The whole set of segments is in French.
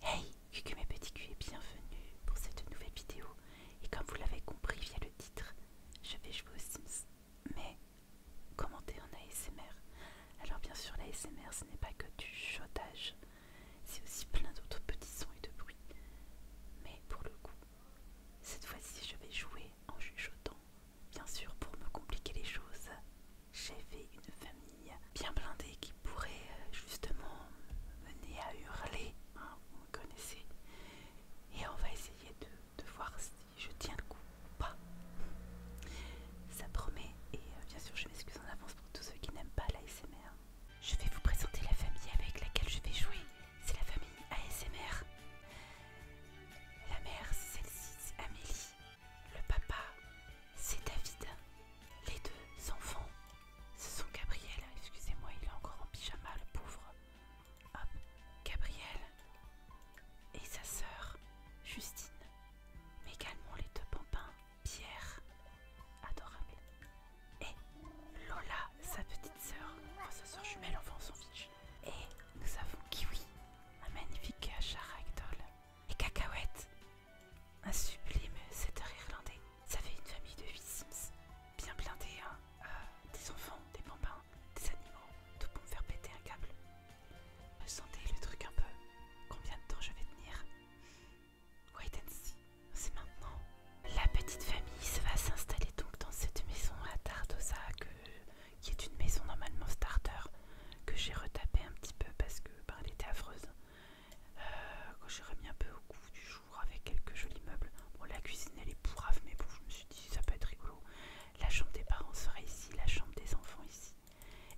Hey, Cucu mes petits bienvenue pour cette nouvelle vidéo. Et comme vous l'avez compris via le titre, je vais jouer au Sims, mais commenter en ASMR. Alors bien sûr, l'ASMR ce n'est pas que du chuchotage c'est aussi plein d'autres petits sons et de bruits. Mais pour le coup, cette fois-ci je vais jouer en chuchotant, bien sûr pour me compliquer les choses j'ai fait une famille bien blindée qui pourrait euh, justement mener à hurler, hein, vous me connaissez. Et on va essayer de, voir si je tiens le coup ou pas. Ça promet, et euh, bien sûr je m'excuse en avance pour tous ceux qui n'aiment pas l'ASMR. Je vais vous présenter la famille avec laquelle je vais jouer. C'est la famille ASMR. La mère, c'est celle-ci, Amélie. Le papa, c'est David. Les deux enfants, ce sont Gabriel. Excusez-moi, il est encore en pyjama, le pauvre. Hop, Gabriel. Et sa sœur, Justine. Mais également les deux bambins, Pierre. Adorable. Et Lola, sa petite sœur. Enfin, sa sœur jumelle, enfin, on s'en fiche. Et nous avons Kiwi, un magnifique chat et cacahuètes Un sublime setter irlandais. Ça fait une famille de 8 Sims. Bien blindés, hein. euh, Des enfants, des bambins, des animaux, tout pour me faire péter un câble. sentez le truc un peu. Combien de temps je vais tenir Wait and see, c'est maintenant. La petite famille va s'installer donc dans cette maison à Tardosa, qui est une maison normalement starter que j'ai retapé un petit peu parce que bah, elle était affreuse. Euh, que j'ai remis un peu au goût du jour avec quelques jolis meubles. Bon, la cuisine elle est pourrave, mais bon, je me suis dit ça peut être rigolo. La chambre des parents serait ici, la chambre des enfants ici.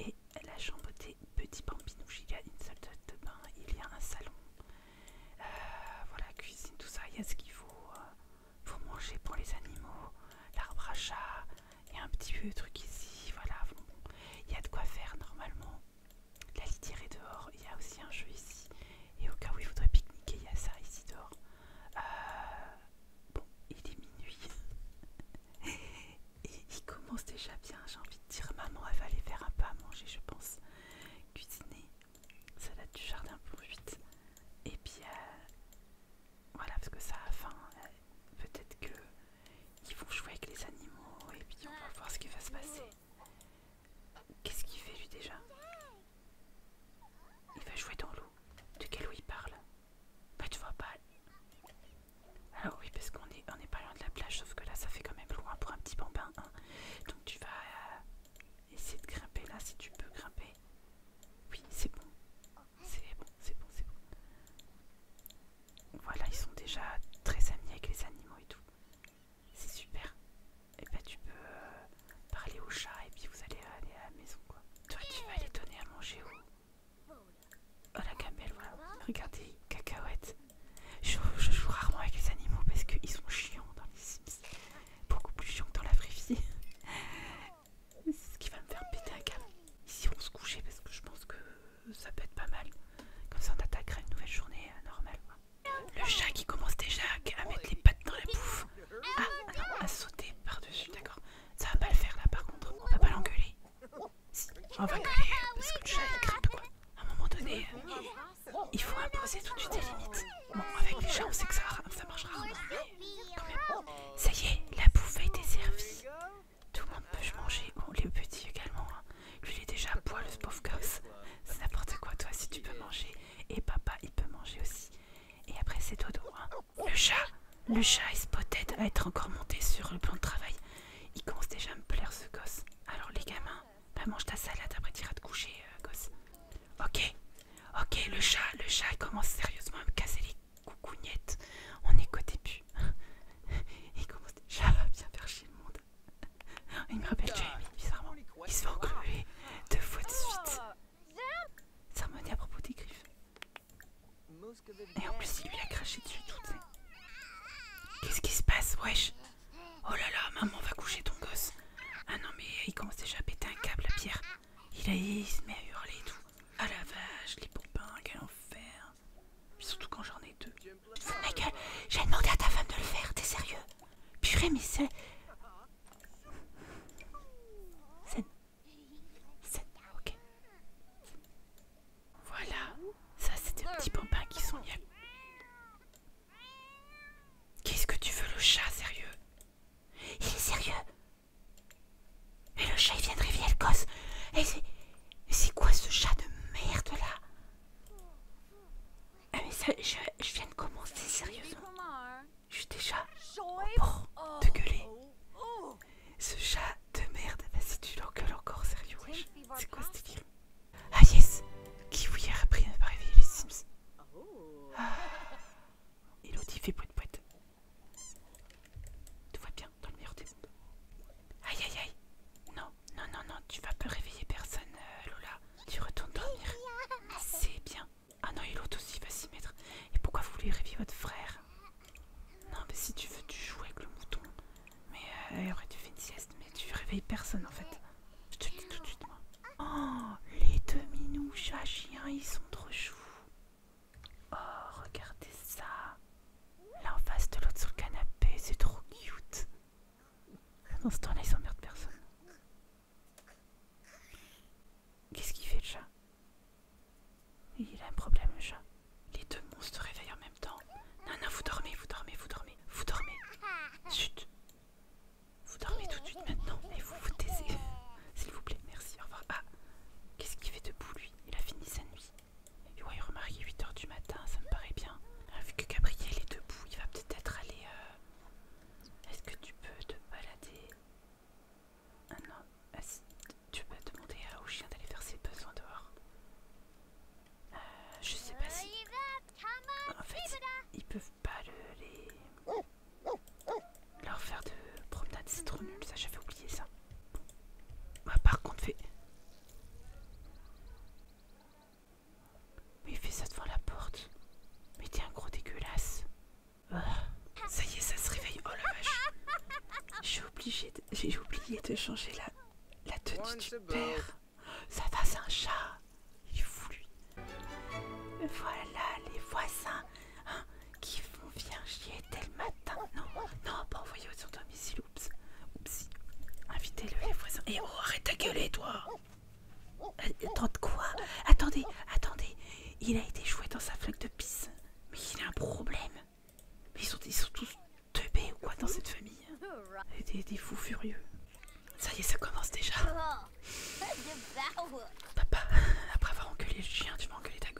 Et la chambre des petits bambins il y a une salle de bain, il y a un salon. Euh, voilà, cuisine, tout ça, il y a ce qu'il faut pour euh, manger pour les animaux, l'arbre à chat, il y a un petit peu de truc ici, voilà. Bon, Il y a de quoi faire normalement. La litière est dehors. Il y a aussi un jeu ici. Et au cas où il faudrait pique-niquer, il y a ça ici dehors. Euh, bon, il est minuit. Et il commence déjà bien. J'ai envie de dire maman, elle va aller faire un pas à manger, je pense. Cuisiner. ça Salade du jardin pour 8. Et puis, euh, voilà, parce que ça a faim. Euh, peut-être qu'ils vont jouer avec les animaux et puis on va voir ce qui va se passer. Qu'est-ce qu'il fait lui déjà Il va jouer dans l'eau. De quel eau il parle Bah tu vois pas. Alors ah oui, parce qu'on est, on est pas loin de la plage, sauf que là ça fait quand même loin pour un petit bambin. Hein. Donc tu vas euh, essayer de grimper là si tu peux grimper. Oui, c'est bon. C'est bon, c'est bon, c'est bon. Voilà, ils sont déjà très amis avec les animaux et tout. C'est super. Et bah tu peux euh, parler au chat et puis vous allez aller à la maison quoi. Toi tu vas les donner à manger où Oh la gamelle voilà. Regardez, cacahuètes. Je, joue rarement avec les animaux parce qu'ils sont chiants dans les Sims. Beaucoup plus chiants que dans la vraie vie. C'est ce qui va me faire péter un câble. Ici, on se couchait parce que je pense que ça peut être pas mal. Comme ça, on attaquera une nouvelle journée euh, normale. Le chat qui commence déjà à mettre les pattes dans la bouffe. Ah, ah, non, à sauter par-dessus, d'accord. Ça va pas le faire là par contre. On va pas l'engueuler. Si, on va gueuler euh, parce que le chat il quoi. À un moment donné, euh, il faut imposer tout de suite des limites. Bon, avec les chats, on sait que ça, ça marche rarement, mais quand même. Ça y est, la bouffe a été servie. Tout le monde peut je manger, oh les petits également. Hein. Lui, il est déjà à le pauvre gosse. C'est n'importe quoi, toi, si tu peux manger. Et papa, il peut manger aussi. Et après, c'est dodo. droit hein. Le chat, le chat, il se peut-être à être encore monté sur le plan de travail. Il commence déjà à me plaire, ce gosse. Alors, les gamins, bah, mange ta salade, après, iras te coucher, euh, gosse. Ok, ok, le chat, le chat, il commence sérieusement à me casser les Coucou Niette, on est qu'au début. Il commence déjà à bien faire chier le monde. Il me rappelle Jamie, bizarrement. Il se fait engluer deux fois de suite. Ça à propos des griffes. Et en plus, il lui a craché dessus tout, Qu'est-ce qui se passe, wesh Oh là là, maman va coucher ton gosse. Ah non, mais il commence déjà à péter un câble, la pierre. Il, a, il se met à hurler et tout. Ah la vache, les pompins, quel enfer. Surtout quand j'en ai deux. Fous ma gueule, j'ai demandé à ta femme de le faire, t'es sérieux Purée, mais c'est. C'est. C'est. Ok. Voilà. Ça, c'est des petits pompins qui sont bien. Qu'est-ce que tu veux, le chat, sérieux Il est sérieux mais le chat il vient de réveiller le gosse. Et c'est. quoi ce chat de merde là Ah mais ça, je, viens de commencer sérieusement. Je suis déjà train de gueuler. Ce chat de merde, vas-y tu l'engueules encore sérieux wesh. C'est quoi ce délire Ah yes y a repris à réveiller les Sims. Ah. Elodie fait poète poète. Tu vois bien, dans le meilleur des mondes. Aïe aïe aïe Non, non, non, non, tu vas pas réveiller personne, euh, Lola. Tu retournes dormir. C'est bien. Ah non, il l'autre aussi va s'y mettre. Et pourquoi vous voulez réveiller votre frère Non, mais si tu veux, tu joues avec le mouton. Mais euh, tu aurait une sieste, mais tu réveilles personne en fait. Je te le dis tout de suite, moi. Oh, les deux minous chiens, ils sont trop choux. Oh, regardez ça. Là en face de l'autre sur le canapé, c'est trop cute. Dans ce temps-là, ils s'emmerdent personne. Qu'est-ce qu'il fait le chat Il a un problème le chat. Les deux monstres se réveillent en même temps. Non, non, vous dormez, vous dormez, vous dormez, vous dormez. Chut. Vous dormez tout de suite maintenant et vous vous taisez. S'il vous plaît, merci, au revoir. Ah Qu'est-ce qu'il fait debout lui Il a fini sa nuit. Et y remarquez, 8h du matin, ça me paraît bien. Ah, vu que Gabriel est debout, il va peut-être aller. Euh, est-ce que tu peux te balader Ah non, ah, tu peux demander au chien d'aller faire ses besoins dehors. Euh, je sais pas si. En fait, ils peuvent pas le, les. Oh. Leur faire de promenade, c'est trop nul, ça j'avais oublié ça. Bah, par contre, fait. Mais il fait ça devant la porte. Mais t'es un gros dégueulasse. Ah, ça y est, ça se réveille. Oh la vache. J'ai j'ai oublié de changer la, la tenue du père. Ça va, c'est un chat. Il est Voilà les voisins. Hein qui vont bien chier dès le matin. Non, non, pas envoyer sur domicile, oups. Invitez-le les voisins. Et eh, oh, arrête ta gueuler, toi euh, Attends, quoi Attendez, attendez. Il a été joué dans sa flaque de pisse. Mais il a un problème. Mais ils sont, tous teubés ou quoi dans cette famille hein. des, des fous furieux. Ça y est, ça commence déjà. Papa, après avoir engueulé le chien, tu vas engueuler ta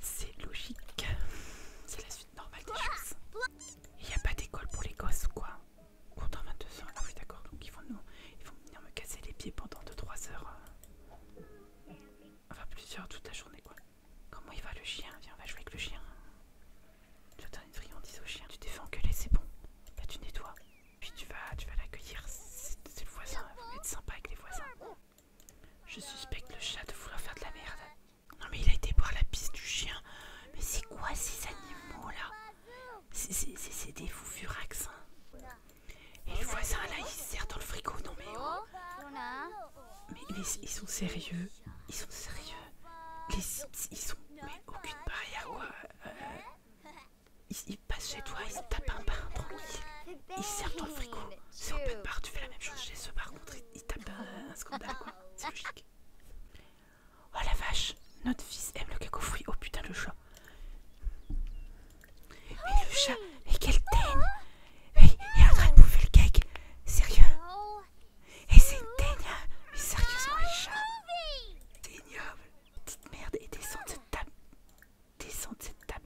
c'est logique. C'est la suite normale des choses. Il n'y a pas d'école pour les gosses quoi Contre 22 ans, ah oui d'accord, donc ils vont, nous, ils vont venir me casser les pieds pendant 2-3 heures. Euh, enfin plusieurs toute la journée quoi. Comment il va le chien Viens on va jouer avec le chien. Tu as une friandise au chien, tu t'es que engueuler, c'est bon. Là tu nettoies. Puis tu vas, tu vas l'accueillir, c'est le voisin, être sympa avec les voisins. Je suspecte le chat de vouloir faire de la merde. Non mais il a été boire la piste du chien. Mais c'est quoi ces animaux là C'est des fous Et le voisin là, il sert dans le frigo. Non mais oh. Mais, ils sont sérieux. Ils sont sérieux. Les, ils sont... Mais aucune barrière. Ouais, il, passe chez toi, il se tape un bain ils Il sert dans le frigo. c'est au bar, tu fais la même chose chez eux par contre. Il, tape euh, un, scandale quoi. C'est logique. Oh la vache, notre fils aime le cacofruit fruit. Oh putain le chat. Mais le chat, mais quel teigne hey, Il est en train de bouffer le cake. Sérieux Et c'est une teigne Mais sérieusement les chats C'est ignoble. Petite merde et descend de table descend de cette table.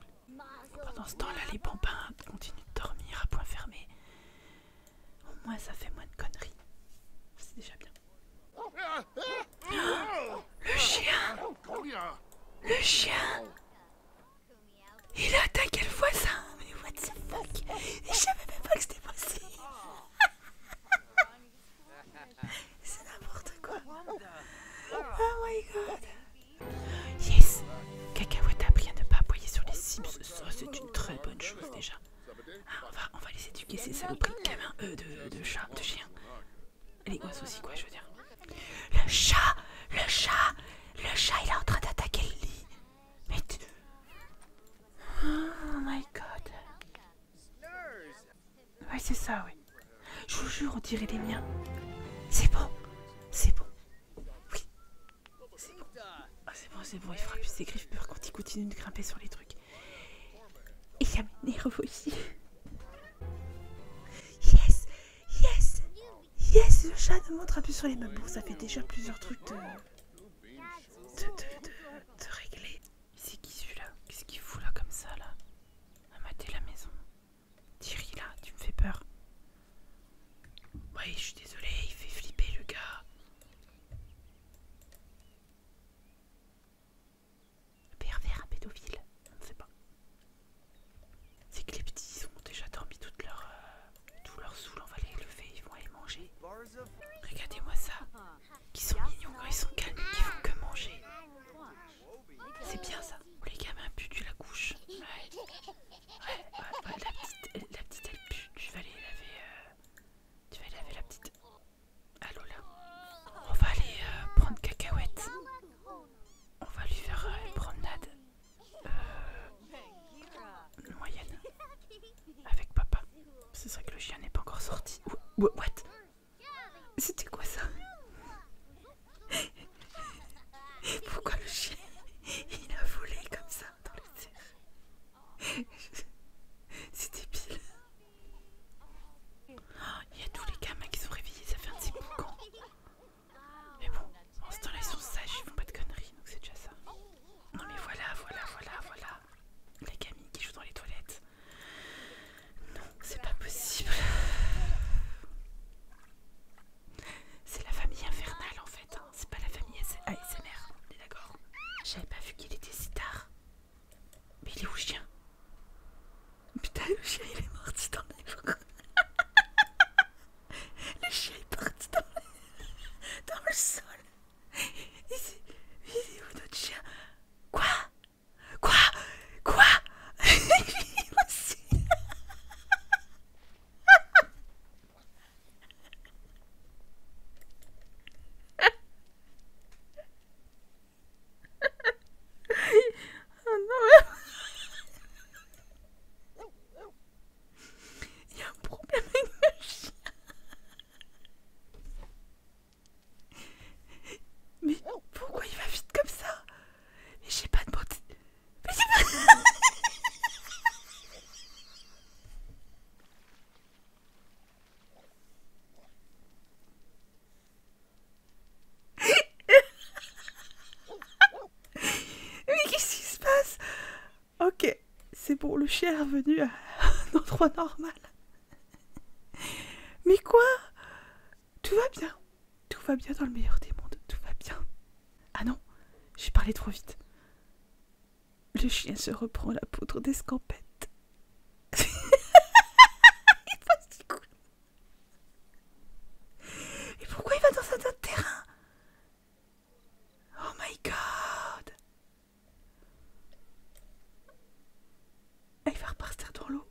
Pendant ce temps-là, les bambins continuent de dormir à point fermé. Au moins, ça fait moins de conneries. C'est déjà bien. le chien Le chien Il a attaqué le voisin Mais what the fuck Je savais même pas que c'était possible C'est n'importe quoi. Oh, oh my god. Yes. Cacahuète appris à ne pas appuyer sur les sims. Ça, c'est une très bonne chose déjà. Ah, on, va, les éduquer, c'est ça de gamins, de, de chat, de chien. Les oiseaux aussi, quoi, je veux dire. Le chat Le chat Le chat, il est en train d'attaquer le lit. Mais Oh my god. Ouais, c'est ça, oui. Je vous jure, on dirait les miens. C'est bon, c'est bon. Oui, c'est bon. Ah, c'est bon, il fera plus ses griffes peur quand il continue de grimper sur les trucs. Et il y a mes nerfs aussi. Yes, yes, yes, le chat ne montre plus sur les meubles. Bon, ça fait déjà plusieurs trucs de, de, de, régler. C'est qui celui-là Qu'est-ce qu'il fout là comme ça là À mater la maison. Thierry là, tu me fais peur. Oui, je suis désolée, il fait flipper le gars. Pervers à pédophile, on ne sait pas. C'est que les petits ont déjà dormi toute leur, euh, tout leur soul, on va les lever, ils vont aller manger. Regardez-moi ça, ils sont mignons ils sont calmes, ne font que manger. C'est bien ça. Les gamins puent, tu la couches. Ouais, ouais, ouais, La, petite, la petite elle pue. Tu vas aller laver. Euh, tu vas laver la petite. Allô là. On va aller euh, prendre cacahuète. On va lui faire euh, une promenade moyenne avec papa. C'est vrai que le chien n'est pas encore sorti. What c'était quoi ça Pourquoi le chien il a volé comme ça dans les terre c'était pile il y a tous les gamins qui sont réveillés, ça fait un petit boucan. Mais bon, en ce temps-là, ils sont sages, ils font pas de conneries, donc c'est déjà ça. Non mais voilà, voilà, voilà, voilà. Les gamines qui jouent dans les toilettes. Non, c'est pas possible. C'est la famille infernale en fait, hein. c'est pas la famille ASMR, on est d'accord J'avais pas vu qu'il était si tard. Mais il est où le chien Putain, le chien il est mort, dans le... Le chien est parti dans le, dans le sol. Il est... il est où notre chien Quoi Quoi Quoi oh non. Il y a un problème avec le chien. Mais pourquoi il va vite comme ça Mais j'ai pas de Mais j'ai pas. Mais qu'est-ce qui se passe Ok, c'est bon, le chien est revenu à un endroit normal. Mais quoi Tout va bien. Tout va bien dans le meilleur des mondes. Tout va bien. Ah non, j'ai parlé trop vite. Le chien se reprend la poudre d'escampette. Il passe cool. Et pourquoi il va dans un autre terrain Oh my god elle va repartir dans l'eau.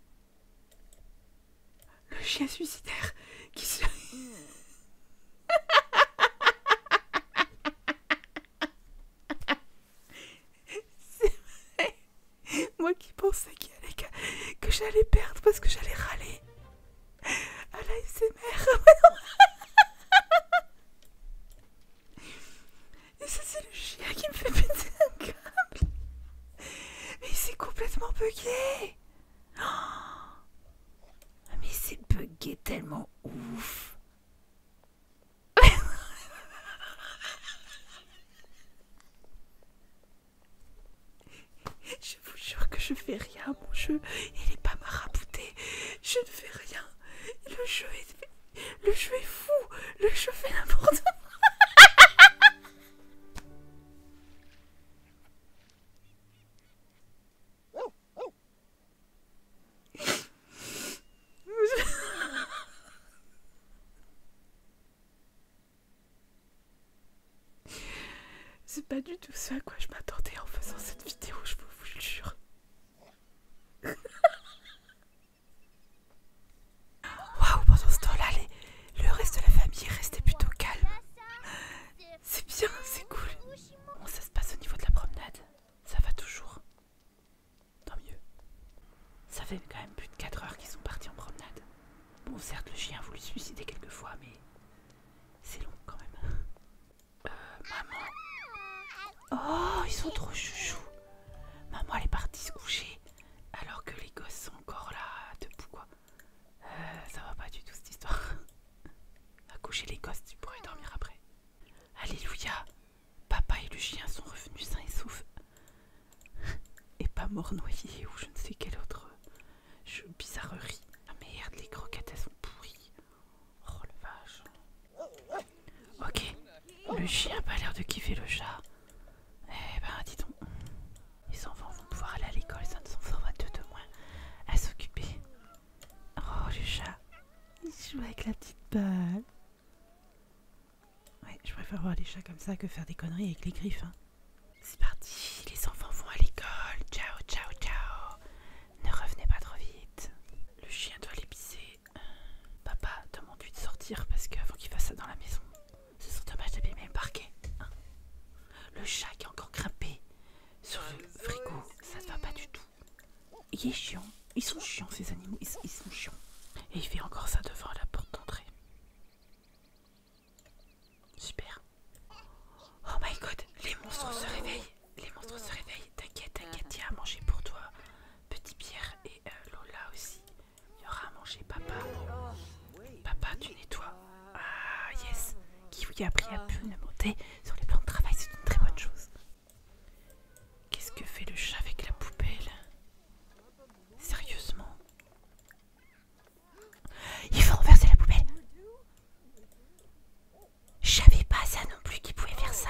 Le chien suicidaire qui se... Moi qui pensais allait, que, j'allais perdre parce que j'allais râler à l'ASMR. Et ça, c'est le chien qui me fait péter un câble. Mais il s'est complètement bugué. Oh. Mais Mais c'est bugué tellement ouf. Je vous jure que je fais rien, mon jeu, il est pas marabouté, je ne fais rien, le jeu est fait le jeu est fou Le jeu fait n'importe quoi C'est pas du tout ça à quoi je m'attendais en faisant cette vidéo, je vous, vous le jure. Waouh, pendant ce temps-là, le reste de la famille est resté plutôt calme. C'est bien, c'est cool. Bon, ça se passe au niveau de la promenade. Ça va toujours. Tant mieux. Ça fait quand même plus de 4 heures qu'ils sont partis en promenade. Bon, certes, le chien a voulu suicider fois mais c'est long quand même. Euh, maman Oh, ils sont trop chouchous. Maman, elle est partie se coucher. Alors que les gosses sont encore là, debout quoi. Euh, ça va pas du tout cette histoire. Va coucher les gosses, tu pourrais dormir après. Alléluia. Papa et le chien sont revenus sains et saufs. Et pas mort noyé ou je ne sais quelle autre bizarrerie. Ah merde, les croquettes elles sont pourries. Oh le vache. Ok, le chien a pas l'air de kiffer le chat. Eh ben, dit on les enfants vont pouvoir aller à l'école, ça ne fera deux de moins à s'occuper. Oh, le chat, il joue avec la petite balle. Ouais, je préfère voir les chats comme ça que faire des conneries avec les griffes. Hein. C'est parti, les enfants vont à l'école. Ciao, ciao, ciao. Ne revenez pas trop vite. Le chien doit pisser papa demande lui de sortir parce qu'avant qu'il fasse ça dans la maison, ce serait dommage d'abîmer le parquet. Hein. le chat qui est encore grimpé sur le frigo, ça ne va pas du tout. Il est chiant, ils sont chiants ces animaux, ils, ils sont chiants. Et il fait encore ça devant la porte d'entrée. Super. Oh my god, les monstres se réveillent. Les monstres se réveillent. T'inquiète, t'inquiète, il y a à manger pour toi. Petit Pierre et euh, Lola aussi. Il y aura à manger papa. Papa, tu nettoies. Ah yes, qui vous a appris à monter sur les plans de travail, c'est une très bonne chose. Qu'est-ce que fait le chat avec la poubelle Sérieusement Il faut renverser la poubelle Je savais pas ça non plus qu'il pouvait faire ça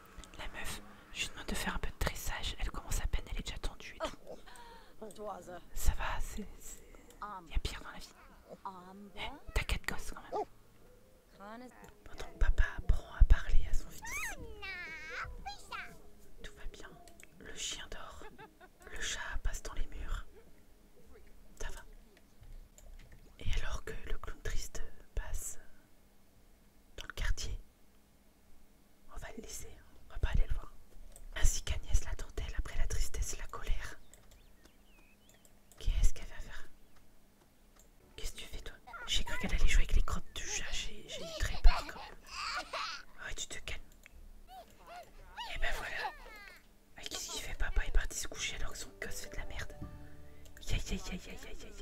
La meuf, je lui demande de faire un peu de tressage. Elle commence à peine, elle est déjà tendue Ça va, c'est. Il y a pire dans la vie. T'inquiète, eh, T'as quatre gosses quand même. Pendant que papa apprend à parler à son fils. Tout va bien. Le chien dort. Le chat passe dans les murs. Ça va. Et alors que le clown triste passe, dans le quartier. On va le laisser, on va pas aller le voir. Ainsi qu'Agnès dentelle après la tristesse et la colère. Qu'est-ce qu'elle va faire Qu'est-ce que tu fais toi J'ai cru qu'elle allait jouer avec les crottes du chat, j'ai eu très peur quand même. Ouais, ah, tu te calmes. Et eh ben voilà. Ah, qu'est-ce qu'il fait Papa est parti se coucher alors que son gosse fait de la merde. Aïe aïe aïe aïe aïe aïe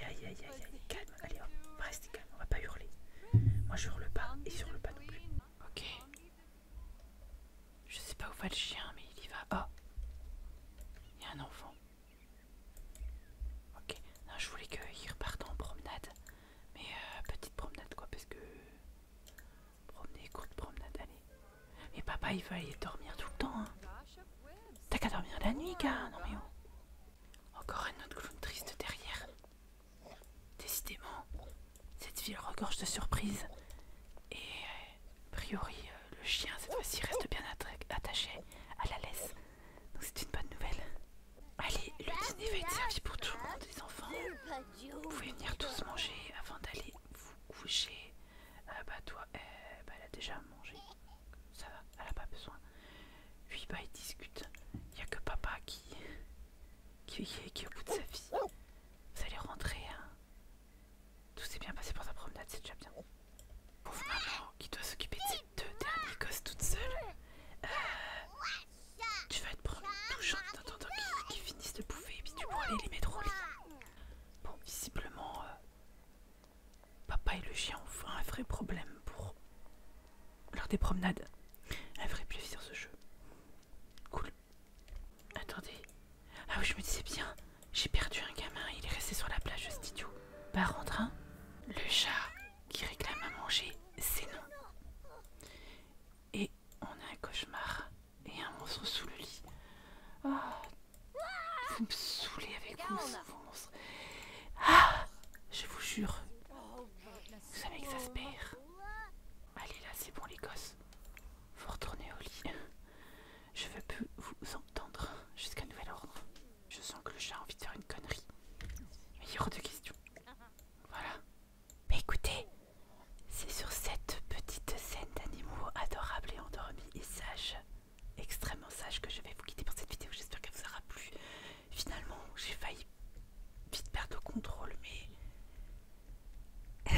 aïe aïe aïe aïe Calme, allez hop, restez calme, on va pas hurler. Moi je hurle pas et sur le pas non plus. Ok. Je sais pas où va le chien mais il y va. oh. Il y a un enfant. Ok. Non je voulais qu'il reparte en promenade. Mais euh, petite promenade quoi parce que... Promener, courte promenade, allez. Mais papa il va aller dormir tout le temps hein. T'as qu'à dormir la nuit, gars Non mais oh Encore un autre clown triste derrière. Décidément, cette ville regorge de surprises. Et euh, a priori, euh, le chien cette fois-ci reste bien attaché à la laisse. Donc c'est une bonne nouvelle. Allez, le dîner va être servi pour tout le monde, les enfants. Vous pouvez venir tous manger avant d'aller vous coucher. Ah bah toi eh, bah, elle a déjà mangé ça va elle a pas besoin lui bah il discute il n'y a que papa qui qui, est au bout de sa vie vous allez rentrer hein. tout s'est bien passé pour sa promenade c'est déjà bien pauvre maman qui doit s'occuper de cette deux derniers gosses toute seule euh, tu vas être touchant d'entendre qu'ils finissent de bouffer et puis tu pourras aller les mettre au lit bon visiblement euh, Papa et le chien ont un vrai problème pour lors des promenades. Un vrai plaisir ce jeu. Cool. Attendez. Ah oui, je me disais bien. J'ai perdu un gamin. Il est resté sur la plage de studio. Par bah, en train. Hein. Le chat qui réclame à manger, c'est non. Et on a un cauchemar et un monstre sous le lit. Ah, vous me saoulez avec vous, vos Ah Je vous jure. Ça m'exaspère. Allez là, c'est bon les gosses. Vous retournez au lit. Je veux plus vous entendre jusqu'à nouvel ordre. Je sens que j'ai envie de faire une connerie. Mais il y aura de questions. Voilà. Mais écoutez, c'est sur cette petite scène d'animaux adorables et endormis et sages extrêmement sage que je vais vous quitter pour cette vidéo. J'espère qu'elle vous aura plu. Finalement, j'ai failli vite perdre le contrôle, mais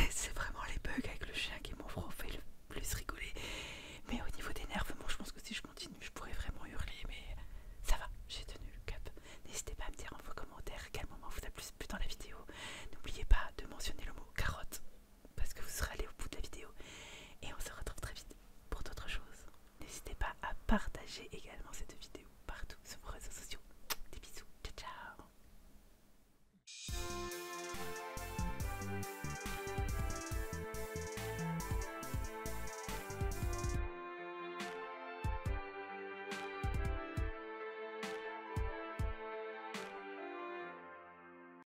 c'est vraiment les bugs avec le chien qui m'ont fait le plus rigoler. Mais au niveau des nerfs, bon, je pense que si je continue, je pourrais vraiment hurler, mais ça va, j'ai tenu le cap. N'hésitez pas à me dire en vos commentaires quel moment vous a plus dans la vidéo. N'oubliez pas de mentionner le mot carotte parce que vous serez allé au bout de la vidéo. Et on se retrouve très vite pour d'autres choses. N'hésitez pas à partager également cette vidéo partout sur vos réseaux sociaux. Des bisous, ciao ciao